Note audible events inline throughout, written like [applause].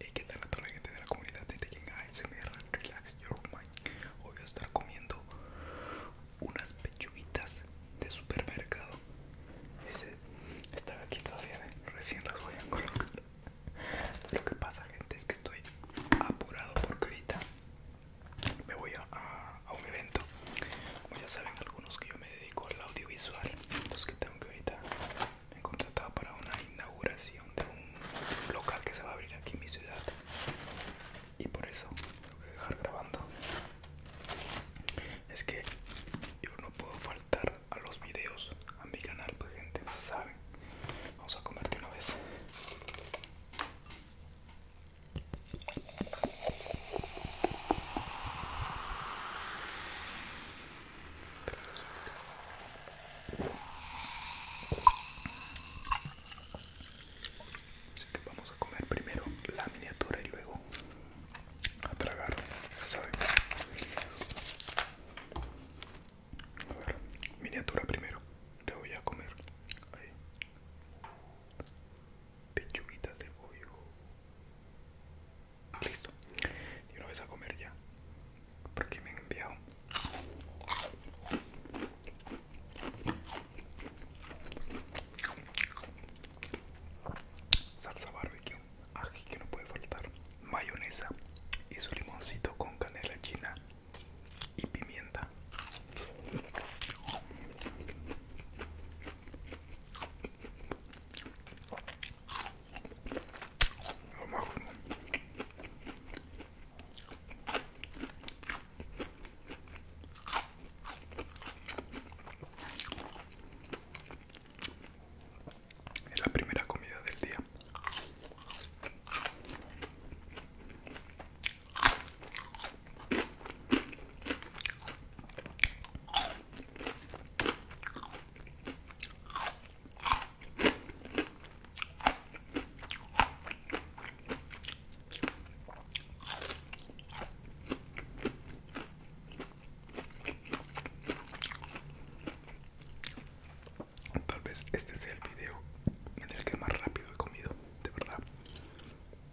Hey, ¿Qué tal a toda la gente de la comunidad de ASMR Relax Your Mind? Hoy voy a estar comiendo unas pechuguitas de supermercado Están aquí todavía, ¿eh? recién las voy a colocar [laughs] Lo que pasa gente es que estoy apurado porque ahorita me voy a, un evento Como ya saben algunos que yo me dedico al audiovisual Entonces que tengo que ahorita me he contratado para una inauguración de un local que se va a abrir aquí en mi ciudad y por eso tengo que dejar grabando es que yo no puedo faltar a los videos a mi canal pues gente no saben vamos a comerte una vez Así que vamos a comer primero la miniatura y luego a tragar, ya A ver, miniatura primero, te voy a comer. Ahí. de pollo. Listo. Y una vez a comer ya. Porque me han enviado. Salsa barbecue, ají que no puede faltar, mayonesa y su limoncito con canela china y pimienta. Es la primera comida del día. Tal vez este sea el video en el que más rápido he comido, de verdad.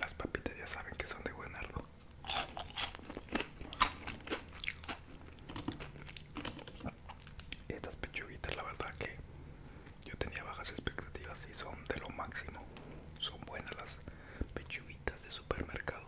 Las papitas ya saben que son de buen árbol. Estas pechuguitas, la verdad que yo tenía bajas expectativas y son de lo máximo. Son buenas las pechuguitas de supermercado.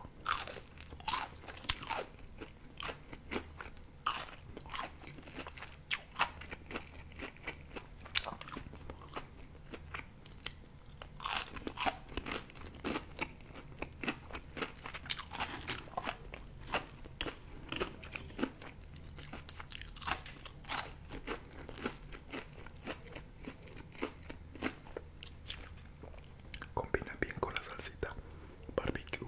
Combina bien con la salsita barbecue.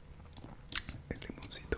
el limoncito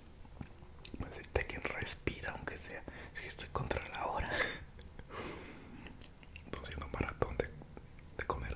Necesita pues que respira, aunque sea. si estoy contra la hora. [laughs] Estoy haciendo un maratón de, de comer.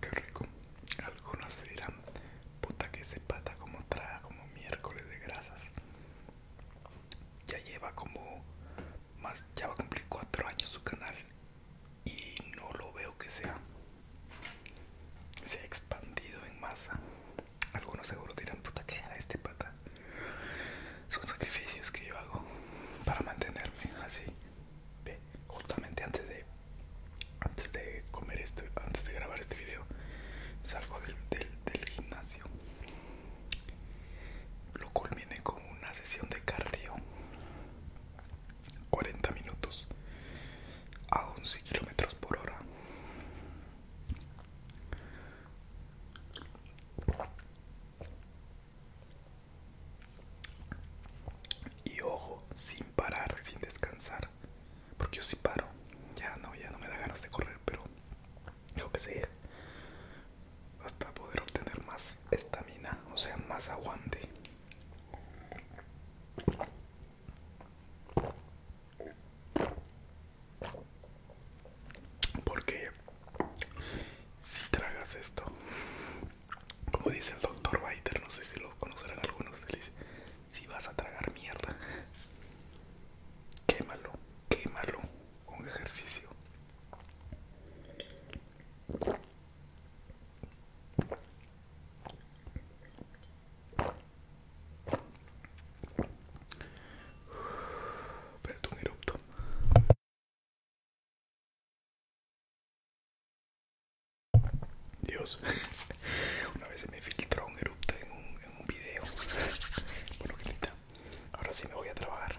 Qué rico. Algunos dirán, puta que se pata como traga como miércoles de grasas. Ya lleva como más, ya va a cumplir cuatro años su canal y no lo veo que sea se ha expandido en masa algunos seguro dirán puta que era este pata son sacrificios que yo hago para mantenerme así justamente antes de antes de comer esto antes de grabar este video salgo del, del gimnasio lo culminé con una sesión de cardio 40 minutos a 11 kilómetros por hora. Y ojo, sin parar, sin descansar. Porque yo si paro. Ya no, ya no me da ganas de correr, pero yo que sé. Hasta poder obtener más estamina, o sea, más aguante. Porque si tragas esto, como dice el doctor Biter, no sé si lo conocerán algunos, dice, si vas a tragar mierda, quémalo, quémalo con ejercicio. Espérate un erupto. Dios, [laughs] una vez se me filtró un erupto en un, en un video. Bueno, ahora sí me voy a trabajar.